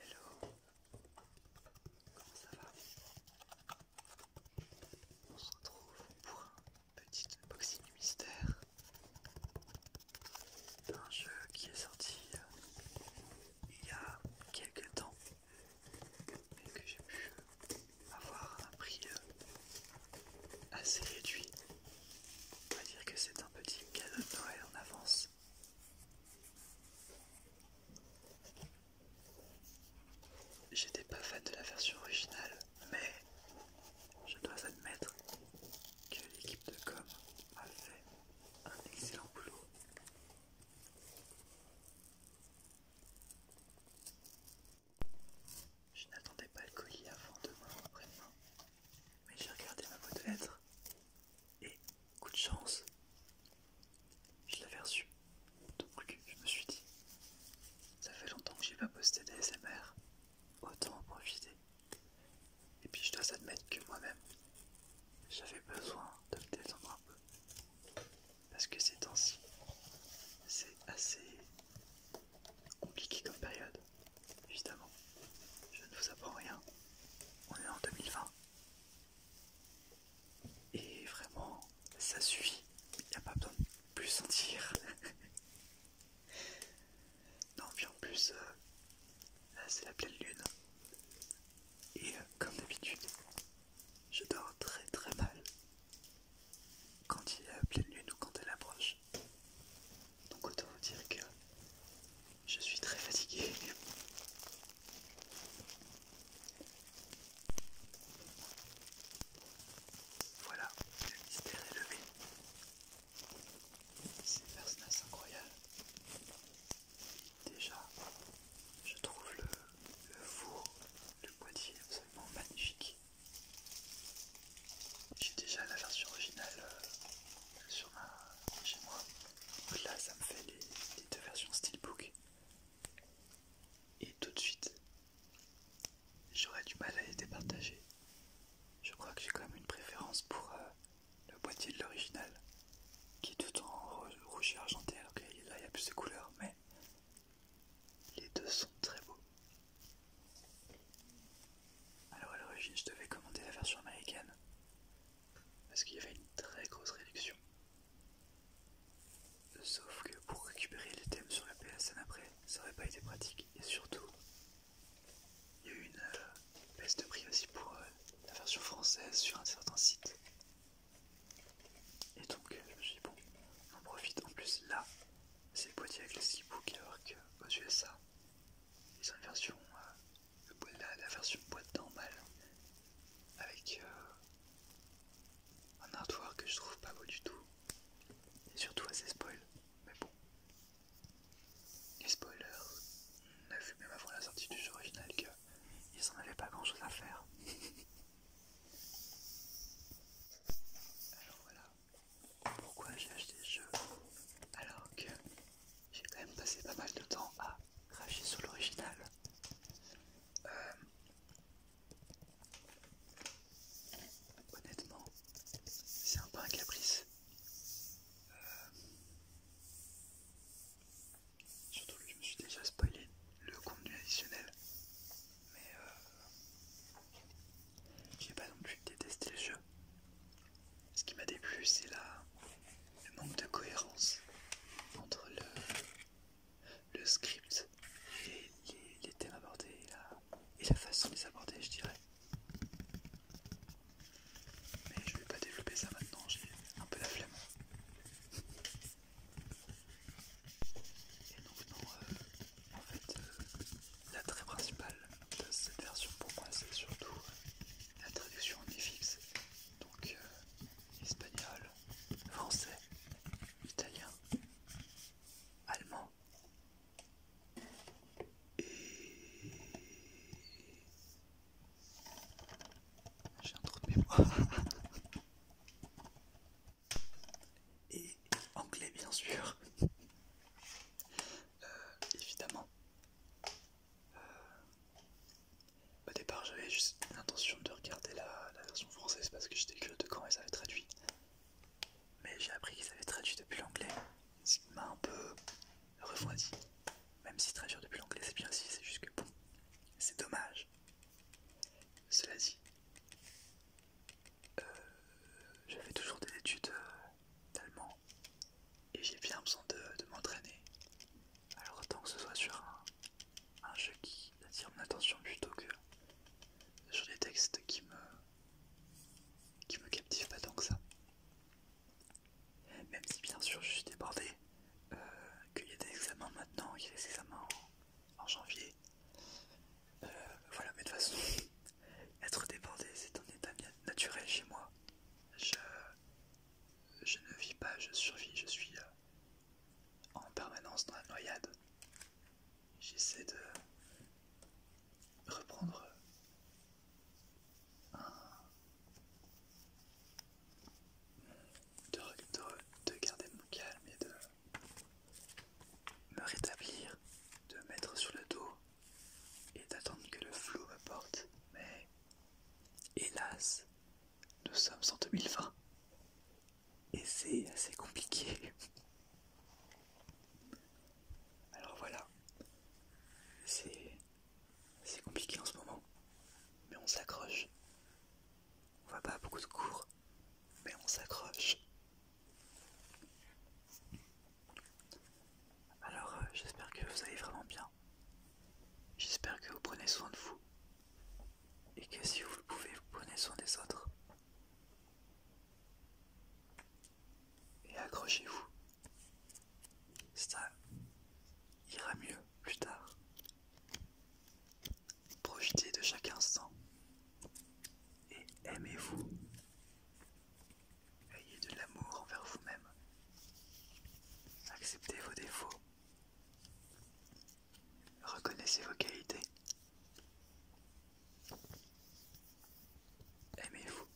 Hello, comment ça va On se retrouve pour un petit unboxing mystère d'un jeu qui est sorti euh, il y a quelques temps et que j'ai pu avoir un prix euh, assez réduit on va dire que c'est un petit cadeau de Noël en avance. J'étais pas fan de la version originale, mais je dois admettre que l'équipe de com a fait un excellent boulot. Je n'attendais pas le colis avant demain après-demain. Mais j'ai regardé ma boîte aux et coup de chance, je l'avais reçu. Donc je me suis dit, ça fait longtemps que j'ai pas posté des SMR, autant en profiter. Et puis je dois admettre que moi-même, j'avais besoin de me détendre un peu. Parce que ces temps-ci, c'est assez Compliqué comme période, évidemment. Je ne vous apprends rien. On est en 2020. Et vraiment, ça suffit. Il n'y a pas besoin de plus sentir. non, puis en plus, euh, là c'est la pleine lune. Et euh, comme d'habitude, je dors très très mal quand il est à pleine lune ou quand elle approche. Donc autant vous dire que je suis très fatigué. Voilà, le mystère est levé. C'est un personnage incroyable. Déjà, je trouve le four, le boîtier absolument magnifique. J'ai déjà la version originale euh, sur ma, chez moi. Donc là, ça me fait les, deux versions Steelbook. Et tout de suite, j'aurais du mal à les départager. Je crois que j'ai quand même une préférence pour euh, le boîtier de l'original, qui est tout en rouge et argenté, là, il y a plus de couleurs, mais les deux sont très beaux. Alors à l'origine, je devais commander la version américaine parce qu'il y avait une très grosse réduction. Sauf que pour récupérer les thèmes sur la PSN après, ça n'aurait pas été pratique et surtout, il y a eu une euh, baisse de prix aussi pour euh, la version française sur un certain site. Et donc, euh, je me suis dit, bon, on en profite. En plus, là, c'est avec les e-books alors euh, aux USA, ils ont une version, euh, la, version boîte normale avec euh, un artwork que je trouve pas beau du tout et surtout assez spoil. Mais bon, les spoilers, on a vu même avant la sortie du jeu original qu'ils en avaient pas grand chose à faire. Alors voilà pourquoi j'ai acheté ce jeu alors que j'ai quand même passé pas mal de temps à cracher sur l'original. Euh, honnêtement, c'est un peu un caprice. Euh, surtout que je me suis déjà spoilé le contenu additionnel mais euh, j'ai pas non plus détesté le jeu. Ce qui m'a déplu, c'est le manque de cohérence entre le, le script et les, thèmes abordés et la, et la façon de les aborder, je dirais. Mais je vais pas développer ça maintenant, j'ai un peu la flemme. Et donc non, euh, en fait, euh, l'attrait principal de cette version pour moi, c'est surtout la traduction en FX, donc euh, espagnol, français, italien, allemand et j'ai un trou de mémoire. et anglais bien sûr euh, évidemment euh, au départ j'avais juste l'intention de regarder la, version française parce que j'étais curieux de quand ils avaient traduit mais j'ai appris qu'ils avaient traduit depuis l'anglais ce qui m'a un peu refroidi même si traduire depuis l'anglais c'est bien si c'est juste que bon c'est dommage cela dit, euh, je fais toujours des études euh, d'allemand et j'ai bien besoin de, m'entraîner. Alors autant que ce soit sur un, jeu qui attire mon attention plutôt que sur des textes qui me qui me captivent pas tant que ça. Même si bien sûr je suis débordé, euh, qu'il y a des examens maintenant, il y a des examens en janvier. Euh, voilà, mais de toute façon, être débordé, c'est un état naturel chez moi. Je, je ne vis pas, je survis, je suis euh, en permanence dans la noyade. J'essaie de reprendre un, de, garder mon calme et de me rétablir, de mettre sur le dos et d'attendre que le flou me porte. Mais hélas, nous sommes en 2020 et c'est assez compliqué. Alors voilà, c'est compliqué en ce moment, mais on s'accroche. On va pas beaucoup de cours, mais on s'accroche. Alors, euh, j'espère que vous allez vraiment bien. J'espère que vous prenez soin de vous. Et que si vous le pouvez, vous prenez soin des autres. Et accrochez-vous. Ça ira mieux plus tard. Profitez de chaque instant et aimez-vous. Ayez de l'amour envers vous-même. Acceptez vos défauts. Reconnaissez vos qualités. Aimez-vous.